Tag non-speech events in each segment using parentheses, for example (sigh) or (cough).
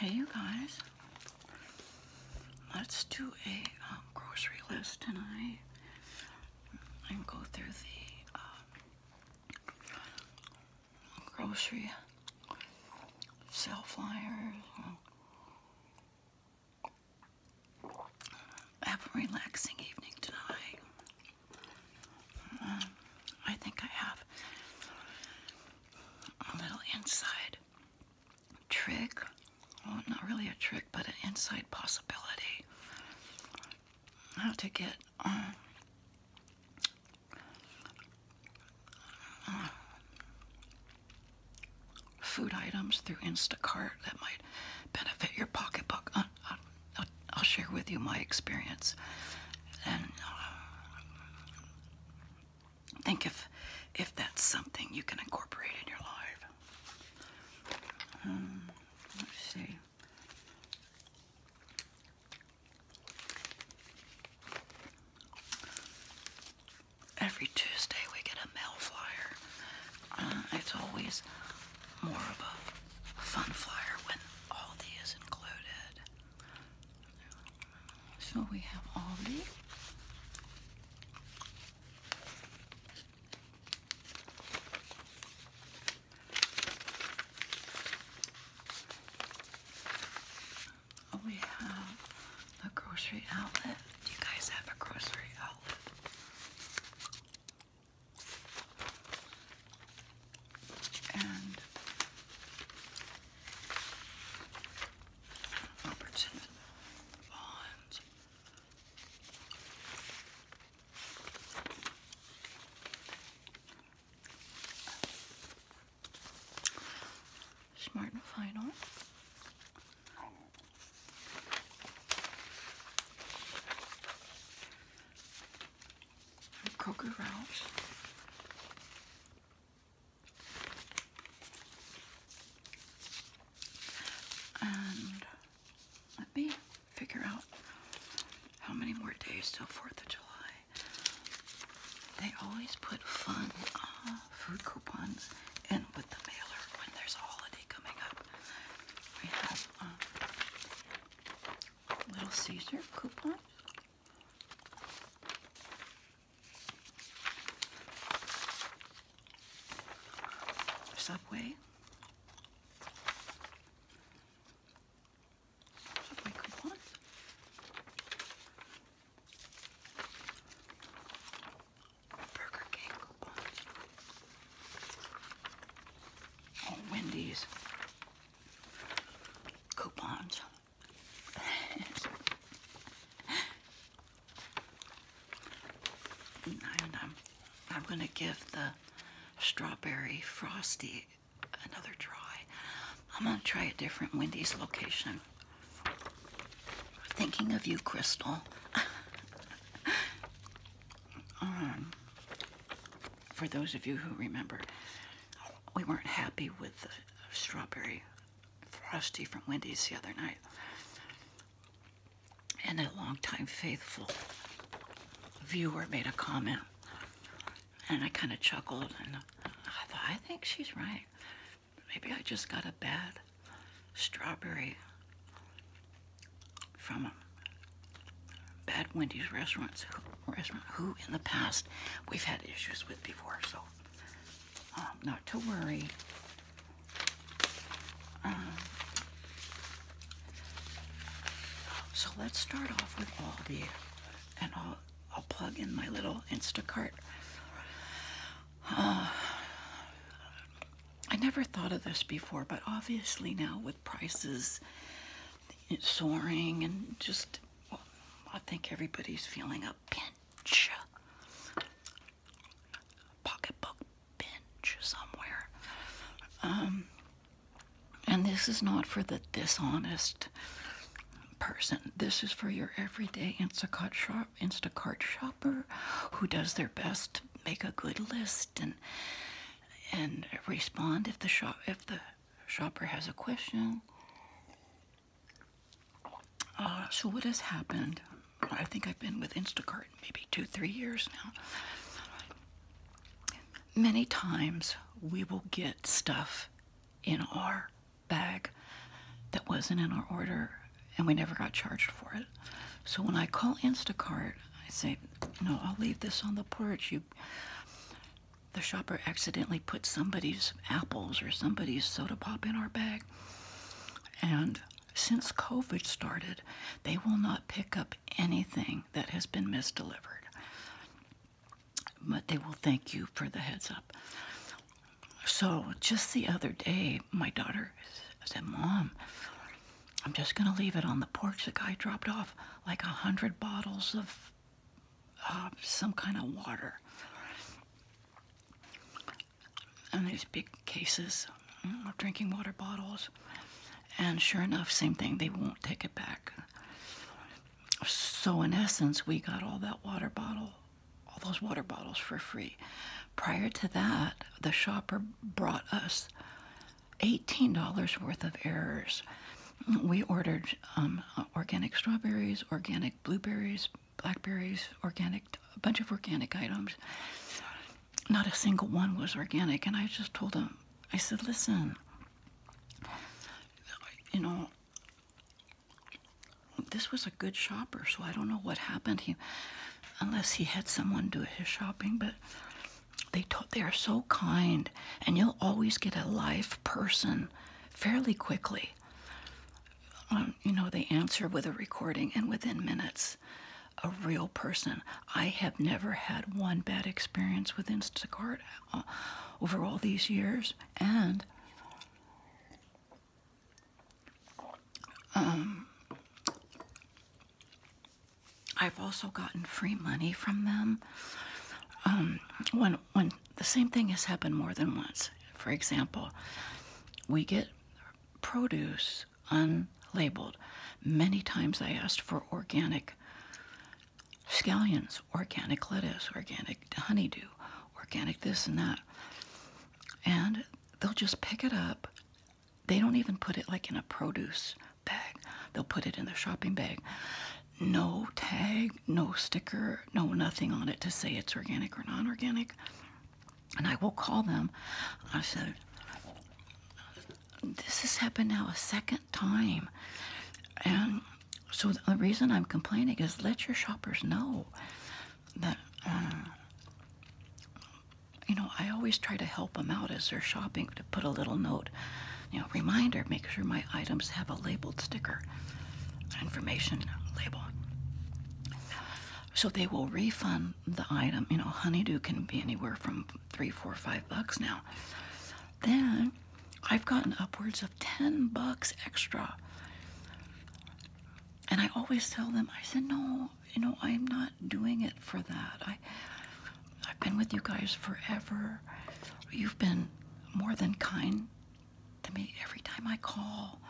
Hey, you guys. Let's do a um, grocery list tonight and go through the um, grocery sale flyers have a relaxing evening tonight. Mm, I think I have a little inside trick. Well, not really a trick, but an inside possibility. How to get um, food items through Instacart that might benefit your pocketbook. I'll, share with you my experience, and uh, think if if that's something you can incorporate in your life. Um, let's see. Every Tuesday we get a mail flyer. Uh, it's always more of a, fun flyer when all these is included. So we have Aldi. Oh, we have the grocery outlet. Do you guys have a grocery outlet? and Robertson Bonds. Smart and final. A Kroger Ralph. And let me figure out how many more days till 4th of July. They always put fun uh, food coupons in with the mailer when there's a holiday coming up. Uh, little Caesar coupons. Subway. Subway coupons. Oh, Wendy's coupons. (laughs) I'm, I'm going to give the strawberry frosty another try. I'm going to try a different Wendy's location. Thinking of you, Crystal. (laughs) Um, for those of you who remember, we weren't happy with the strawberry frosty from Wendy's the other night. And a longtime faithful viewer made a comment, and I kind of chuckled, and I thought, I think she's right. Maybe I just got a bad strawberry from a bad Wendy's restaurants restaurant who in the past we've had issues with before so um, not to worry um, so let's start off with Aldi and I'll, I'll plug in my little Instacart uh, I never thought of this before, but obviously now with prices soaring and just, I think everybody's feeling a pinch, pocketbook pinch somewhere. Um, and this is not for the dishonest person. This is for your everyday Instacart shopper who does their best make a good list and and respond if the shop if the shopper has a question. Uh, so what has happened? I think I've been with Instacart maybe two, three years now. Many times we will get stuff in our bag that wasn't in our order and we never got charged for it. So when I call Instacart, I say, no, I'll leave this on the porch. You, the shopper accidentally put somebody's apples or somebody's soda pop in our bag. And since COVID started, they will not pick up anything that has been misdelivered. But they will thank you for the heads up. So just the other day, my daughter said, Mom, I'm just going to leave it on the porch. The guy dropped off like a hundred bottles of uh, some kind of water. And these big cases of drinking water bottles. And sure enough, same thing, they won't take it back. So, in essence, we got all that water bottle, all those water bottles for free. Prior to that, the shopper brought us $18 worth of errors. We ordered um, organic strawberries, organic blueberries, blackberries, organic, a bunch of organic items. Not a single one was organic. And I just told him, I said, listen, you know, this was a good shopper, so I don't know what happened. He unless he had someone do his shopping, but they they are so kind, and you'll always get a live person fairly quickly. Um, you know, they answer with a recording, and within minutes, a real person. I have never had one bad experience with Instacart uh, over all these years, and um, I've also gotten free money from them. Um, when when the same thing has happened more than once. For example, we get produce unlabeled. Many times I asked for organic scallions, organic lettuce, organic honeydew, organic this and that. And they'll just pick it up they don't even put it like in a produce bag. They'll put it in the shopping bag. No tag, no sticker, no nothing on it to say it's organic or non organic. And I will call them. I said, This has happened now a second time. And so the reason I'm complaining is let your shoppers know that uh, you know, I always try to help them out as they're shopping to put a little note, you know, reminder, make sure my items have a labeled sticker, information label. So they will refund the item. You know, honeydew can be anywhere from three, four, five bucks now. Then I've gotten upwards of 10 bucks extra. And I always tell them, I said, no, you know, I'm not doing it for that. I, I've been with you guys forever. You've been more than kind to me every time I call.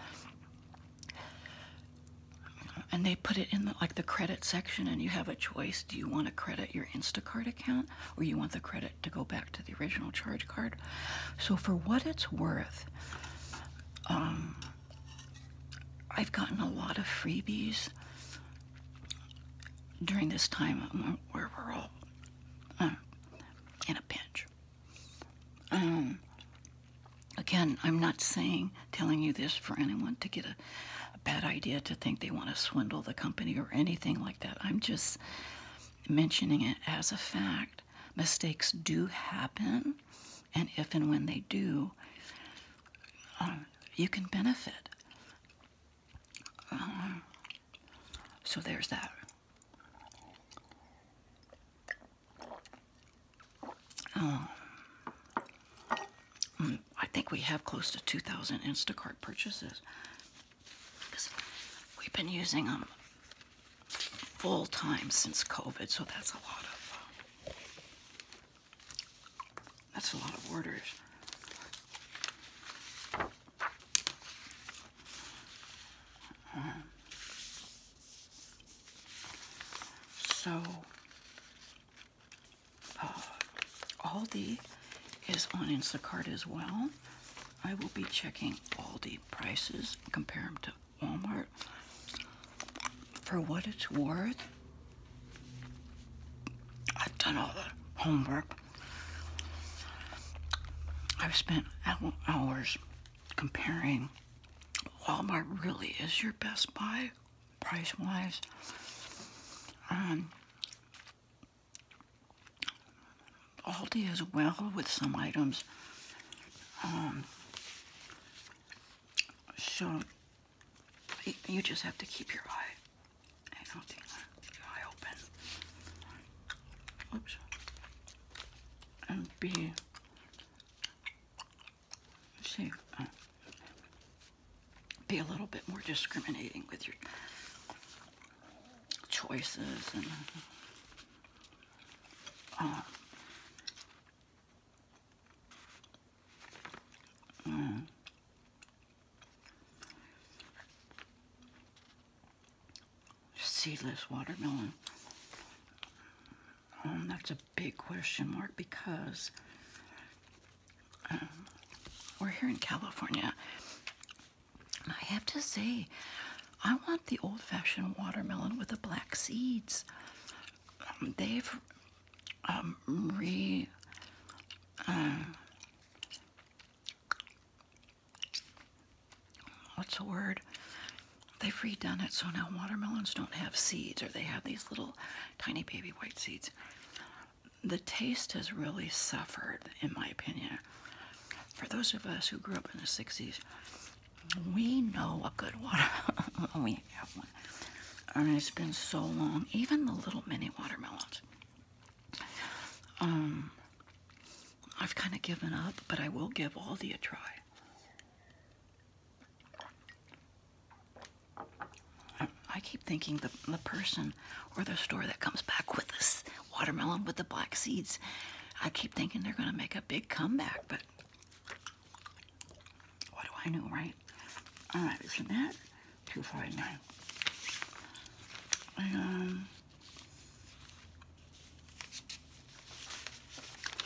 And they put it in the, like the credit section, and you have a choice. Do you want to credit your Instacard account, or you want the credit to go back to the original charge card? So for what it's worth, um, I've gotten a lot of freebies during this time where we're all um, in a pinch. Um, again, I'm not saying, telling you this for anyone to get a bad idea to think they want to swindle the company or anything like that. I'm just mentioning it as a fact. Mistakes do happen. And if and when they do, uh, you can benefit. Uh, so there's that. Um, mm, I think we have close to 2,000 Instacart purchases we've been using them full time since COVID, so that's a lot of uh, that's a lot of orders. so, uh, Aldi is on Instacart as well. I will be checking Aldi prices, compare them to Walmart. For what it's worth, I've done all the homework. I've spent hours comparing. Walmart really is your best buy, price-wise. Um, Aldi as well with some items. Um, so you just have to keep your eye, uh, eye open. And be see, uh, be a little bit more discriminating with your choices and. Uh, Seedless watermelon. Um, that's a big question mark because um, we're here in California. I have to say, I want the old fashioned watermelon with the black seeds. Um, they've um, re uh, what's the word? They've redone it so now watermelons don't have seeds, or they have these little tiny baby white seeds. The taste has really suffered, in my opinion. For those of us who grew up in the 60s, we know a good water. (laughs) we have one. I mean, it's been so long. Even the little mini watermelons. Um, I've kind of given up, but I will give Aldi a try. I keep thinking the, the person or the store that comes back with this watermelon with the black seeds, I keep thinking they're going to make a big comeback, but what do I know, right? All right, isn't that 249 um,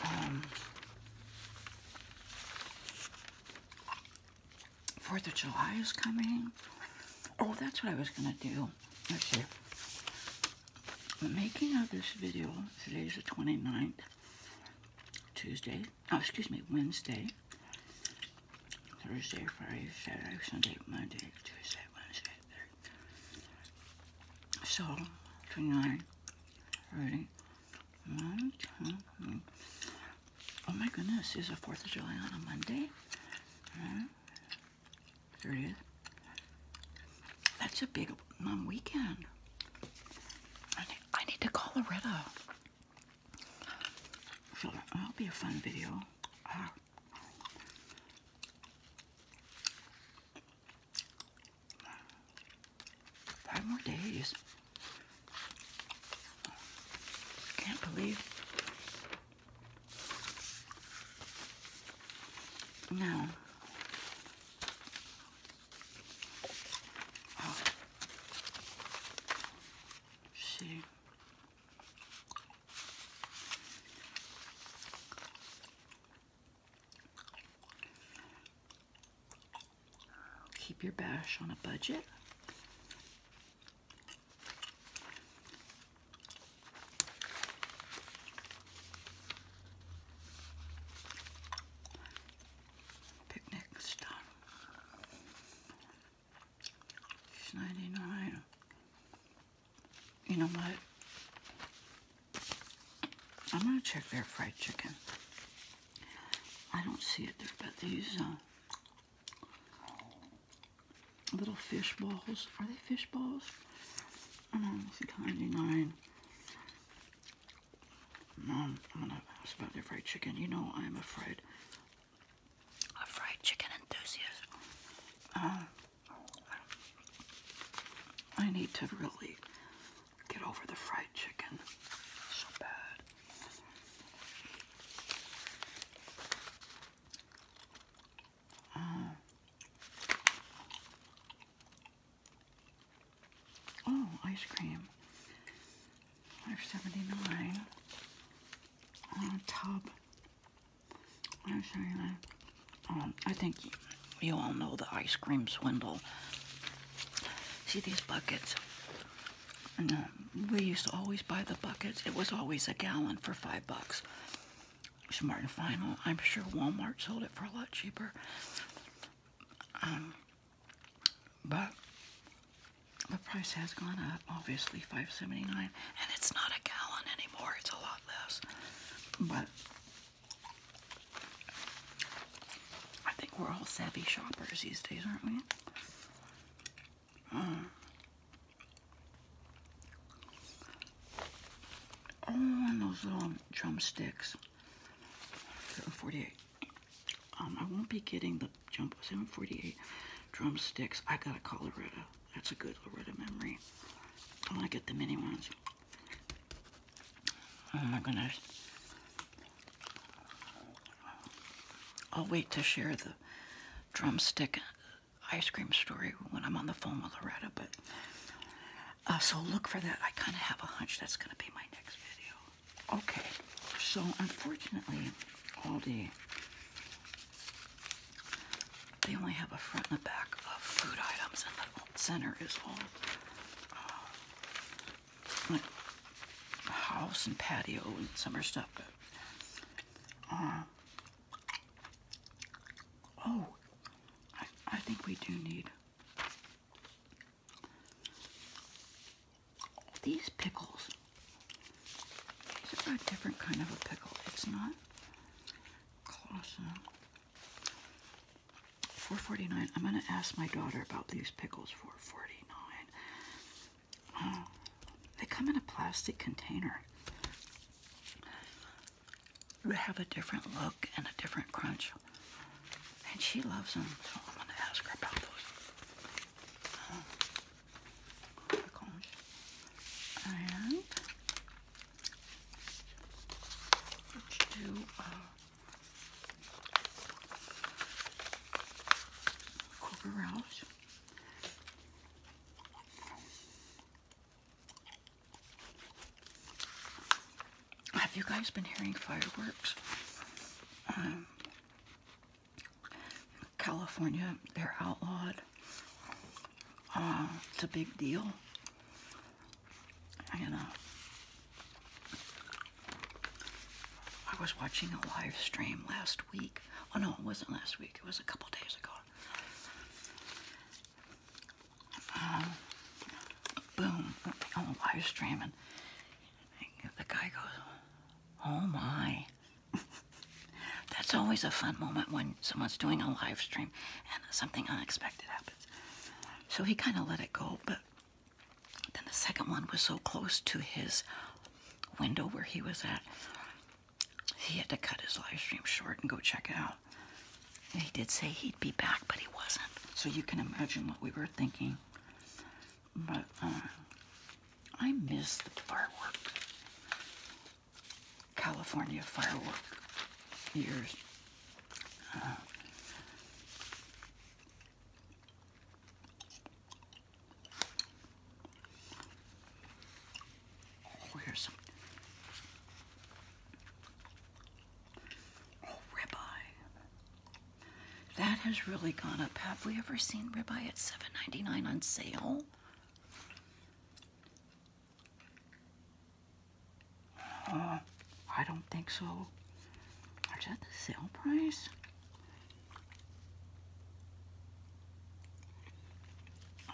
um, Fourth of July is coming. Oh, that's what I was gonna do. Let's see. making of this video, today's the 29th. Tuesday, oh, excuse me, Wednesday, Thursday, Friday, Saturday, Sunday, Monday, Tuesday, Wednesday, Thursday. So, 29, 30, 1, 2, Oh my goodness, is the 4th of July on a Monday? Uh, 30th. That's a big Mom, weekend. I need, to call Loretta. So that'll be a fun video. Ah. five more days. Can't believe. No. Keep your bash on a budget. Picnic stuff. 99. You know what? I'm going to check their fried chicken. I don't see it there, but these uh, little fish balls, are they fish balls? I don't know, 99. Mom, I'm gonna ask about your fried chicken. You know I'm afraid. A fried chicken enthusiast. Uh, I need to really get over the fried chicken so bad. Uh, Oh, ice cream. Five seventy nine. On a tub. I'm showing that. Um, I think you all know the ice cream swindle. See these buckets? And, um, we used to always buy the buckets. It was always a gallon for five bucks. Smart and Final. I'm sure Walmart sold it for a lot cheaper. Um, but the price has gone up, obviously, 5.79, and it's not a gallon anymore. It's a lot less. But I think we're all savvy shoppers these days, aren't we? oh, um, and those little drumsticks. 748. Um, I won't be getting the jumbo 748 drumsticks. I got a Colorado. That's a good Loretta memory. I want to get the mini ones. Oh my goodness. I'll wait to share the drumstick ice cream story when I'm on the phone with Loretta, but uh, so look for that. I kind of have a hunch that's going to be my next video. Okay, so unfortunately, Aldi, they only have a front and a back of food items, and the center is all uh, house and patio and summer stuff. But, uh, oh, I think we do need these pickles, these a different kind of a pickle. It's not 449. I'm gonna ask my daughter about these pickles. 449. they come in a plastic container have a different look and a different crunch. And she loves them, so I'm going to ask her about those. and let's do uh, Cougar have you guys been hearing fireworks? Um, California, they're outlawed. Uh, it's a big deal. And uh, I was watching a live stream last week. Oh no, it wasn't last week. It was a couple days ago. Um, boom, on live streaming. the guy goes, oh my. (laughs) That's always a fun moment when someone's doing a live stream and something unexpected happens. So he kind of let it go, but then the second one was so close to his window where he was at, he had to cut his live stream short and go check it out. He did say he'd be back, but he wasn't. So you can imagine what we were thinking. But uh, I miss the firework, California firework years. Oh, uh, here's some Oh, ribeye. That has really gone up. Have we ever seen ribeye at seven ninety nine on sale? Uh, I don't think so. Is that the sale price?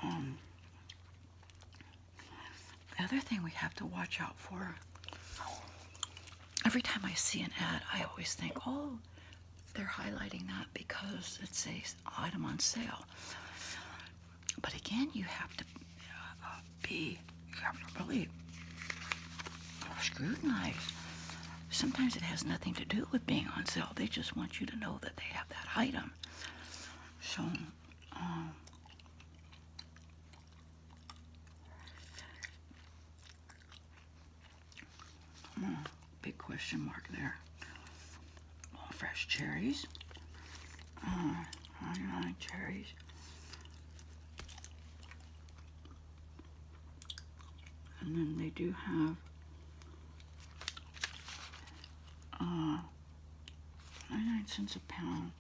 Um, the other thing we have to watch out for every time I see an ad, I always think, oh, they're highlighting that because it's a item on sale. But again, you have to uh, uh, be, you have Sometimes it has nothing to do with being on sale. They just want you to know that they have that item. So um, big question mark there. fresh cherries. Uh, I cherries. And then they do have uh, 99 cents a pound.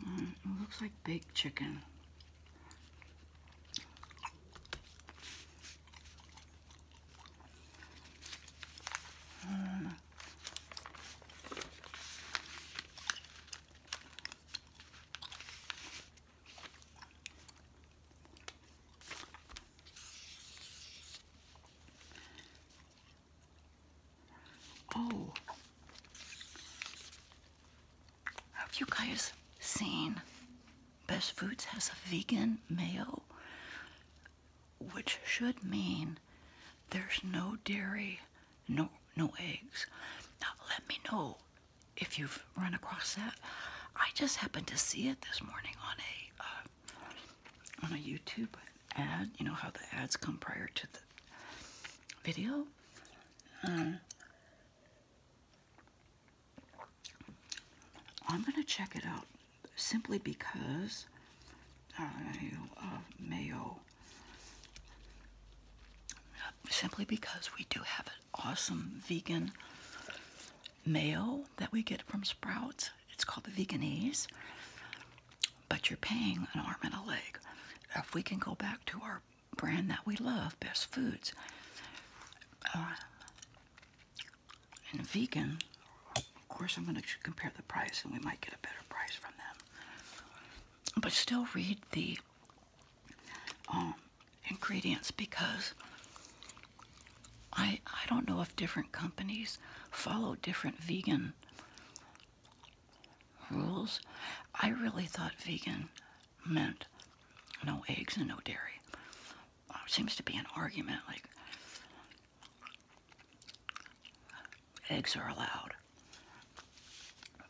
Mm, it looks like baked chicken. Mm. Oh. Have you guys seen Best Foods has a vegan mayo? Which should mean there's no dairy, no no eggs. Now let me know if you've run across that. I just happened to see it this morning on a uh, on a YouTube ad, you know how the ads come prior to the video. Um, I'm gonna check it out simply because I love uh, mayo. Simply because we do have an awesome vegan mayo that we get from Sprouts. It's called the Veganese but you're paying an arm and a leg. If we can go back to our brand that we love, Best Foods, uh, and vegan, of course, I'm going to compare the price and we might get a better price from them. But still read the um, ingredients because I I don't know if different companies follow different vegan rules. I really thought vegan meant no eggs and no dairy. it uh, seems to be an argument like eggs are allowed.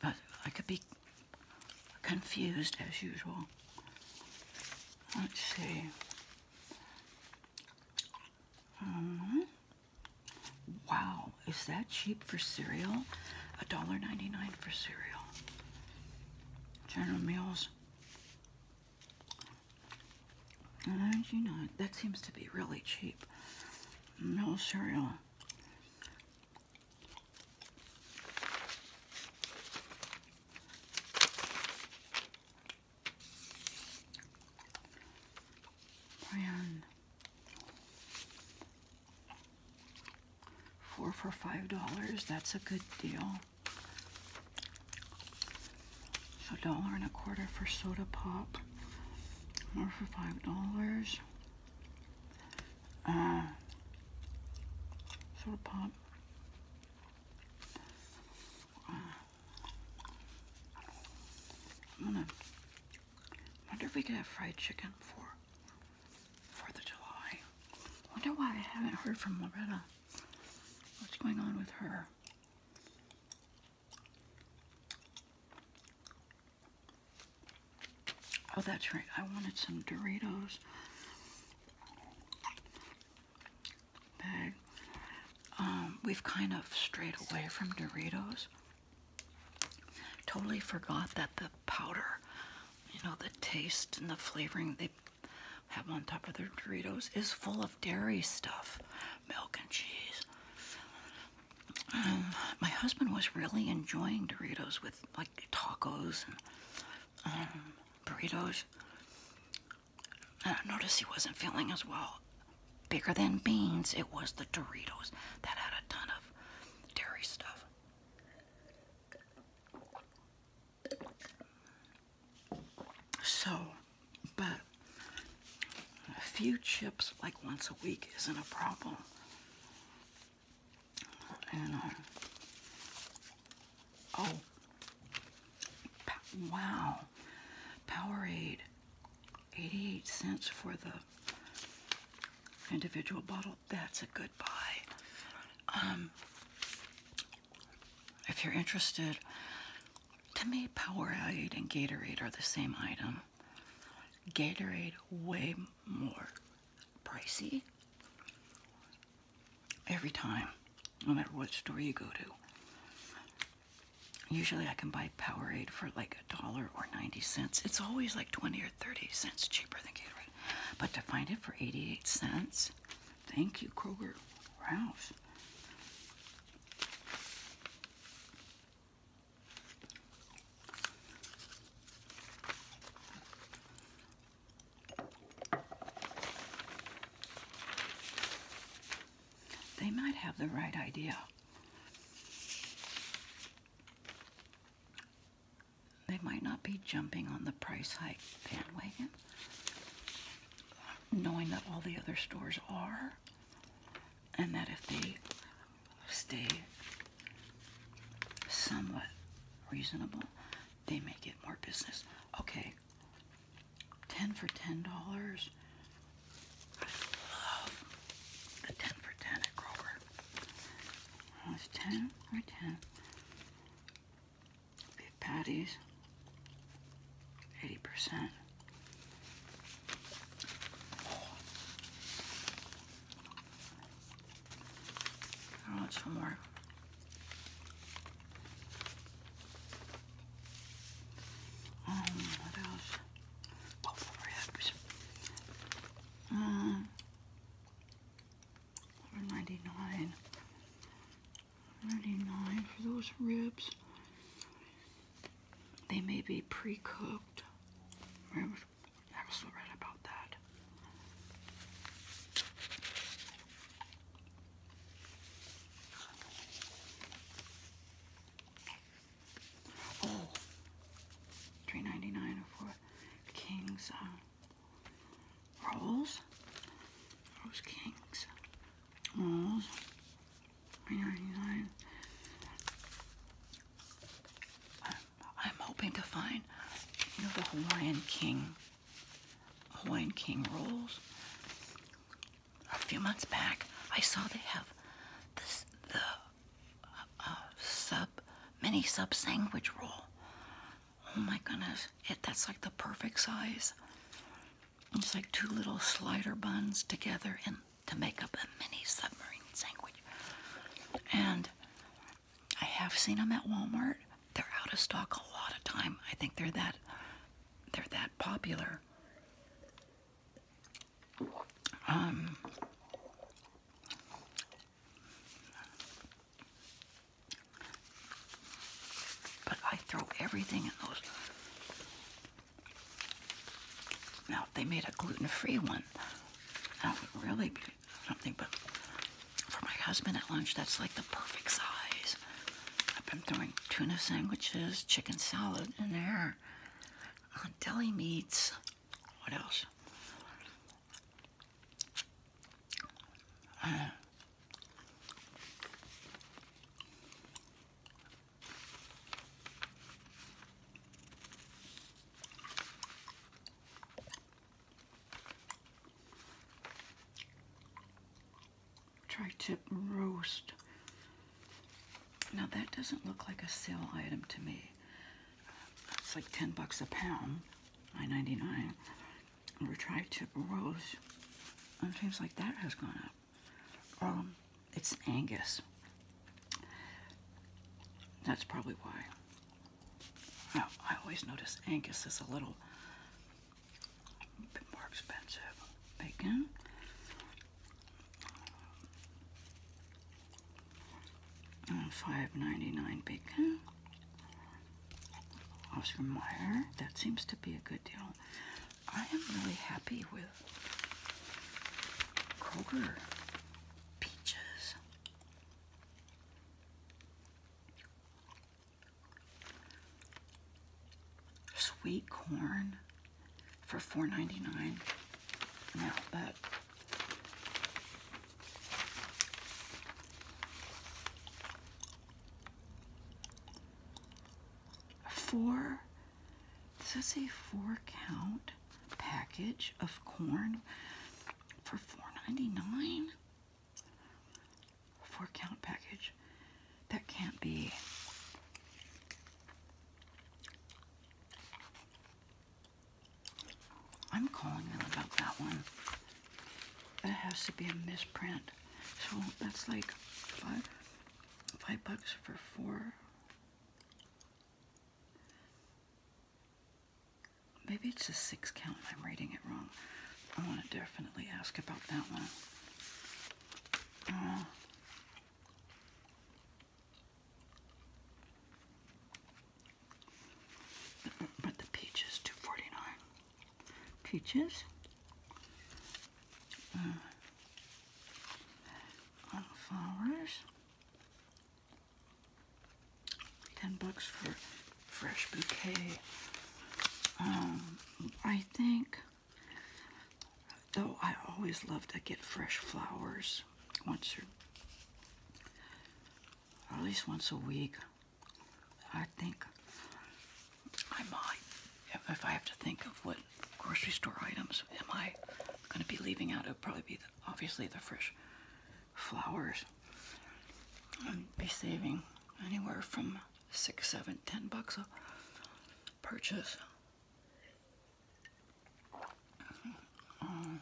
But I could be confused as usual. Let's see. Uh-huh. Wow, is that cheap for cereal? $1.99 for cereal. General Mills. You that seems to be really cheap. No cereal. Brand. Four for five dollars. That's a good deal. So dollar and a quarter for soda pop. More for five dollars. Uh, soda pop. Uh, I'm gonna wonder if we could have fried chicken for Fourth of July. Wonder why I haven't heard from Loretta. What's going on with her? Oh, that's right. I wanted some Doritos bag. Um, we've kind of strayed away from Doritos. Totally forgot that the powder, you know, the taste and the flavoring they have on top of their Doritos is full of dairy stuff, milk and cheese. Um, my husband was really enjoying Doritos with like tacos and um, burritos. And I noticed he wasn't feeling as well. Bigger than beans, it was the Doritos that had a ton of dairy stuff. So, but a few chips like once a week isn't a problem. And, uh, oh, wow. Powerade. 88 cents for the individual bottle. That's a good buy. Um, if you're interested, to me, Powerade and Gatorade are the same item. Gatorade, way more pricey every time, no matter what store you go to. Usually I can buy Powerade for like a dollar or 90 cents. It's always like 20 or 30 cents cheaper than Gatorade. But to find it for 88 cents, thank you, Kroger. Ralph they might have the right idea. They might not be jumping on the price hike bandwagon, knowing that all the other stores are, and that if they stay somewhat reasonable, they may get more business. Okay, 10 for $10. I love the 10 for 10 at Kroger. Well, it's 10 or 10. Beef patties, 80%. I want some more um, what else? Buffalo ribs. uh, $1.99. $1.99 for those ribs. They may be pre-cooked. I was so about that. Oh, three ninety nine for King's uh, rolls. Rose King's rolls. Three ninety nine. I'm hoping to find you know the Hawaiian King Hawaiian King rolls a few months back, I saw they have this the uh, sub mini sub sandwich roll. Oh my goodness, it that's like the perfect size. It's like two little slider buns together and to make up a mini submarine sandwich. And I have seen them at Walmart. They're out of stock a lot of time. I think they're that they're that popular. Um, but I throw everything in those. Now, if they made a gluten-free one, that would really be something. But for my husband at lunch, that's like the perfect size. I've been throwing tuna sandwiches, chicken salad in there, uh, deli meats. What else? Uh, tri-tip roast. Now that doesn't look like a sale item to me. It's like 10 bucks a pound, 9.99. Or tri-tip roast. And it seems like that has gone up. Um, it's Angus. That's probably why. I always notice Angus is a little a bit more expensive bacon. Uh, five ninety nine bacon. Oscar Mayer. That seems to be a good deal. I am really happy with Kroger peaches sweet corn for $4.99. Now, but four, does it say four count package of corn for $4.99? Four count package. That can't be. I'm calling them about that one. That has to be a misprint. So that's like five, five bucks for four. Maybe it's a six count. I'm reading it wrong. I want to definitely ask about that one. Uh. but the peaches, two forty nine. Peaches. Uh. flowers. Ten bucks for fresh bouquet. Um, I think, though I always love to get fresh flowers once or, at least once a week. I think if I have to think of what grocery store items am I going to be leaving out, it will probably be obviously the fresh flowers. I'd be saving anywhere from six, seven, ten bucks a purchase. Um,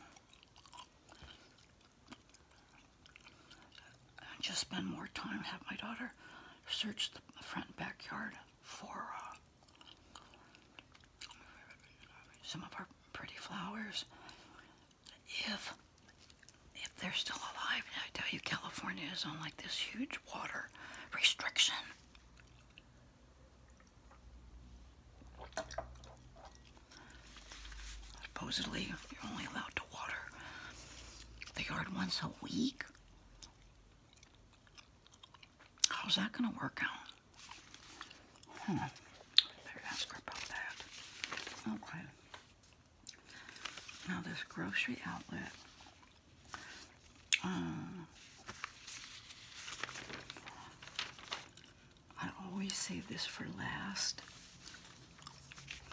just spend more time, have my daughter search the front backyard for uh, some of our pretty flowers. If if they're still alive, I tell you, California is on like this huge water restriction. Supposedly, you're only allowed to water the yard once a week. How's that going to work out? Hmm. Better ask her about that. Okay. Now this grocery outlet, uh, I always save this for last.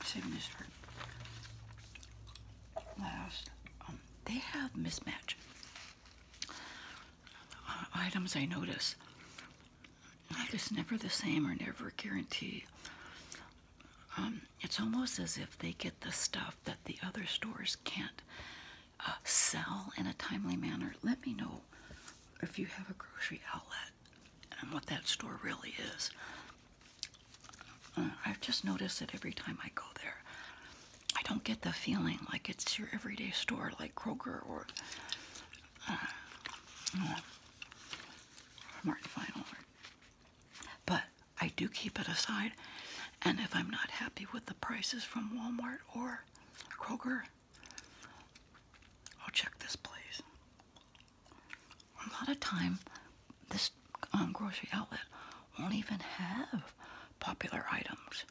Save this for last. Um, they have mismatched uh, items. I notice like it's never the same or never guaranteed. Um, it's almost as if they get the stuff that the other stores can't uh, sell in a timely manner. Let me know if you have a grocery outlet and what that store really is. Uh, I've just noticed that every time I go there, I don't get the feeling like it's your everyday store like Kroger or uh, Martin Fine or but I do keep it aside, and if I'm not happy with the prices from Walmart or Kroger, I'll check this place. A lot of time, this um, grocery outlet won't even have popular items.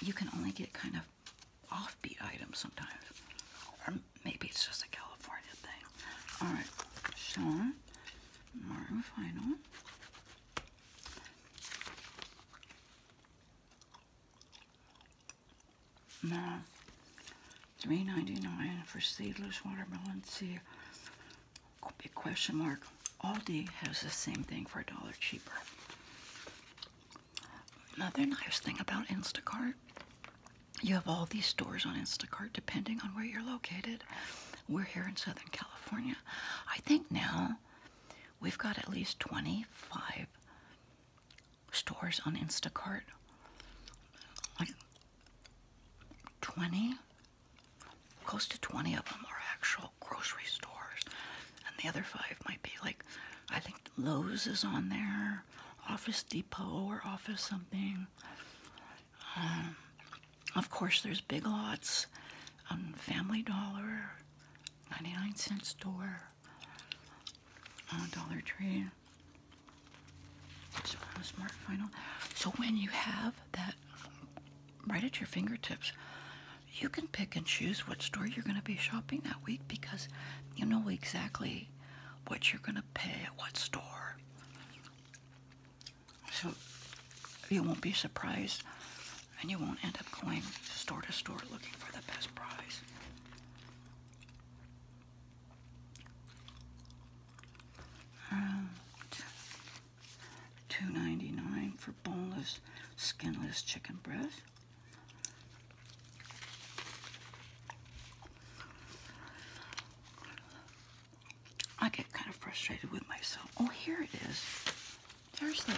You can only get kind of offbeat items sometimes maybe it's just a California thing. All right, Sean, Final. Now, three ninety nine for seedless watermelon See. Big question mark. Aldi has the same thing for a dollar cheaper. Another nice thing about Instacart you have all these stores on Instacart depending on where you're located. We're here in Southern California. I think now we've got at least 25 stores on Instacart. Like 20, close to 20 of them are actual grocery stores. And the other five might be like, I think Lowe's is on there. Office Depot or Office something. Um, of course, there's Big Lots, um, Family Dollar, 99 cent store, uh, Dollar Tree, So when you have that right at your fingertips, you can pick and choose what store you're going to be shopping that week because you know exactly what you're going to pay at what store. So you won't be surprised and you won't end up going store to store looking for the best price. Uh, two ninety nine for boneless, skinless chicken breast. I get kind of frustrated with myself. Oh, here it is. There's the.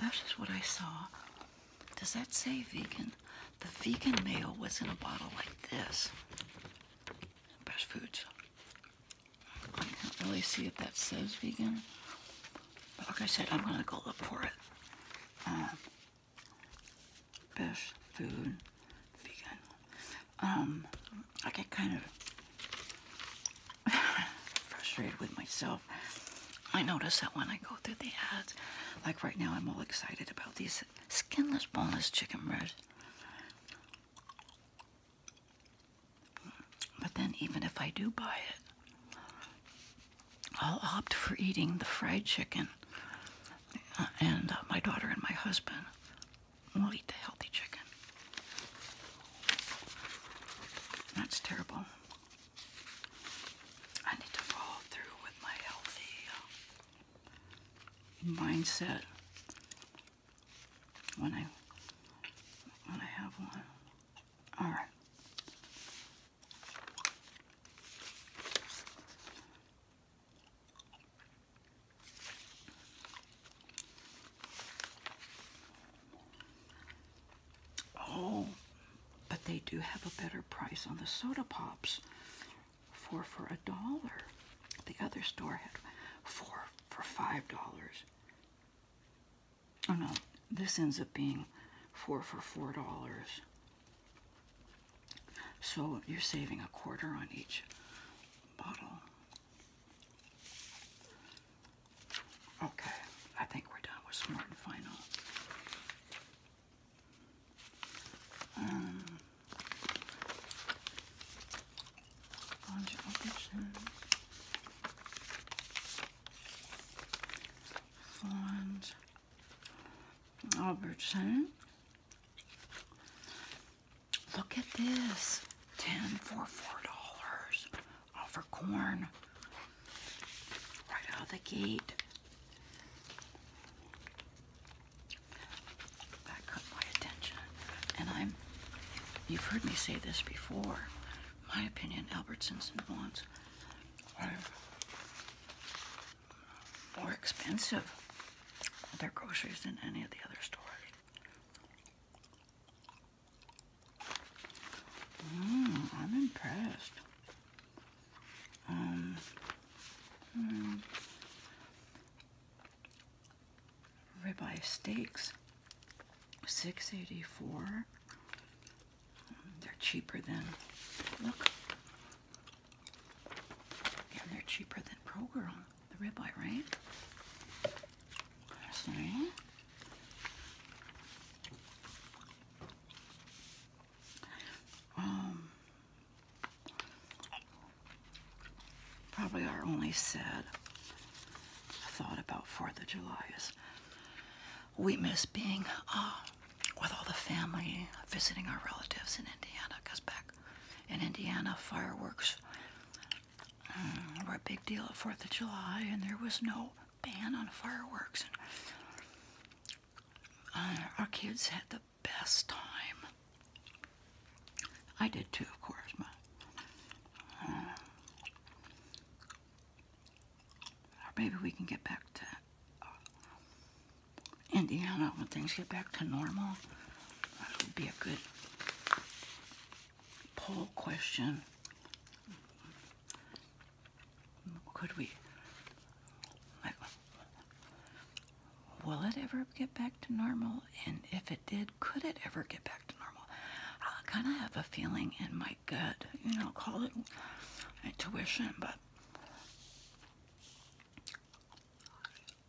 That's just what I saw. Does that say vegan? The vegan mayo was in a bottle like this. Best Foods. I can't really see if that says vegan. But like I said, I'm going to go look for it. Um, best food, vegan. Um, I get kind of (laughs) frustrated with myself. I notice that when I go through the ads, like right now I'm all excited about these skinless, boneless chicken breasts. But then even if I do buy it, I'll opt for eating the fried chicken, uh, and uh, my daughter and my husband will eat the healthy chicken. That's terrible. I need to follow through with my healthy uh, mindset when I when I have one. All right. Oh, but they do have a better price on the soda pops. Four for a dollar. The other store had four for five dollars oh no, this ends up being four for four dollars. So you're saving a quarter on each bottle. Okay, I think we're done with Smart Final. Um, Florence Albertson. Look at this. 10 for $4 all for corn. Right out of the gate. That caught my attention. And I'm, you've heard me say this before, my opinion, Albertsons and Vaughn's are more expensive their groceries than any of the other stores. Mm, I'm impressed. Um, hmm. ribeye steaks, six eighty four. They're cheaper than, look. they're cheaper than Pro Girl, the ribeye, right? See? Um, probably our only sad thought about 4th of July is we miss being uh, with all the family, visiting our relatives in Indiana, because back in Indiana, fireworks mm, were a big deal at 4th of July, and there was no ban on fireworks. And, uh, our kids had the best time. I did too, of course. But, uh, or maybe we can get back to uh, Indiana when things get back to normal. That would be a good poll question. Could we, will it ever get back to normal? And if it did, could it ever get back to normal? I kind of have a feeling in my gut, you know, call it intuition, but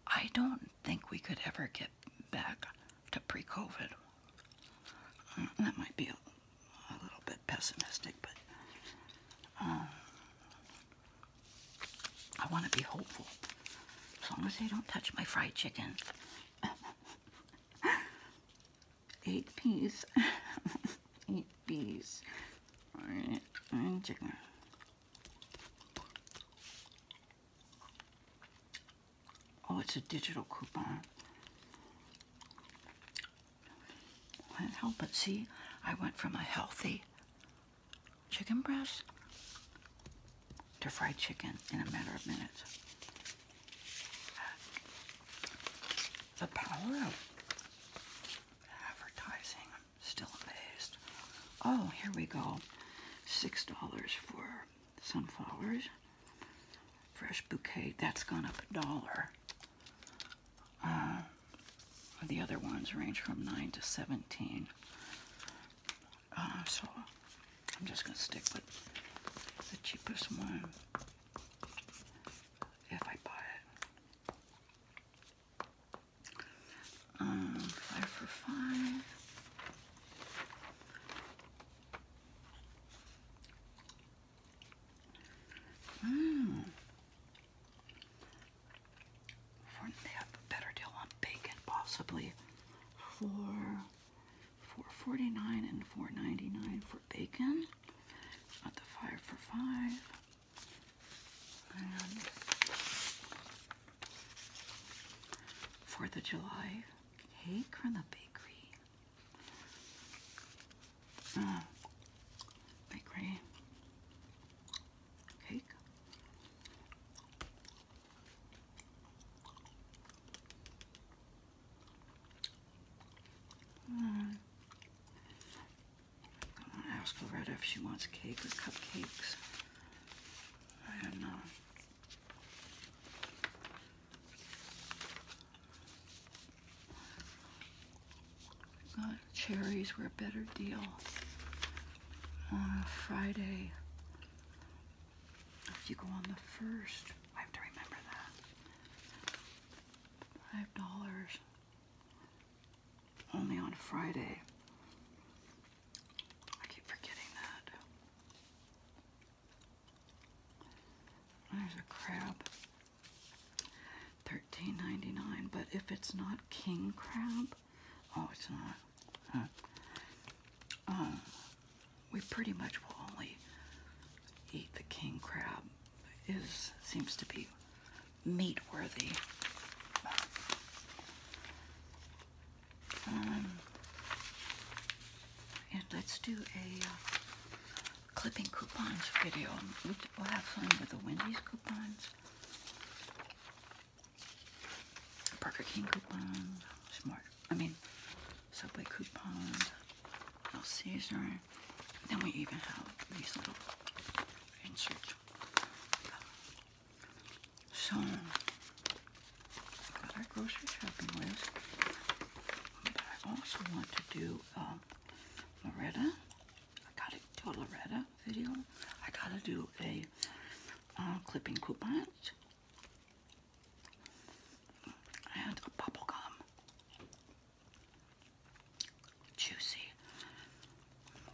I don't think we could ever get back to pre COVID. Mm, that might be a, little bit pessimistic, but um, I want to be hopeful. As long as they don't touch my fried chicken. (laughs) eight peas, (laughs) eight peas, right, chicken. Oh, it's a digital coupon. Can't help but see, I went from a healthy chicken breast to fried chicken in a matter of minutes. The power of advertising. I'm still amazed. Oh, here we go. $6 for sunflowers. Fresh bouquet. That's gone up a dollar. Uh, the other ones range from 9 to 17. Uh, so I'm just going to stick with the cheapest one if I buy it. Um, five for five. Mmm. They have a better deal on bacon, possibly. For 4.49 and 4.99 bacon at the fire for five. Fourth of July cake from the bakery. Uh, bakery cake. I'm going to ask Loretta if she wants cake or cupcakes. I don't know. Uh, cherries were a better deal on uh, Friday. If you go on the first, I have to remember that. Five dollars. Only on Friday. I keep forgetting that. There's a crab. Thirteen ninety nine. But if it's not king crab, oh, it's not. Huh. Uh, we pretty much will only eat the king crab. It is seems to be meat worthy. Um, let's do a uh, clipping coupons video. We'll have fun with the Wendy's coupons, Burger King coupons, Smart I mean, Subway coupons, El Caesar. Then we even have these little inserts. Uh, so, got our grocery shopping list. I also want to do um, Loretta. I gotta do a Loretta video. I gotta do a uh, clipping coupons and a bubblegum. Juicy.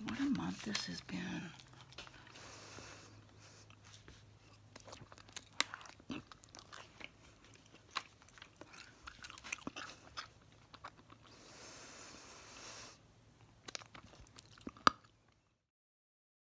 What a month this has been.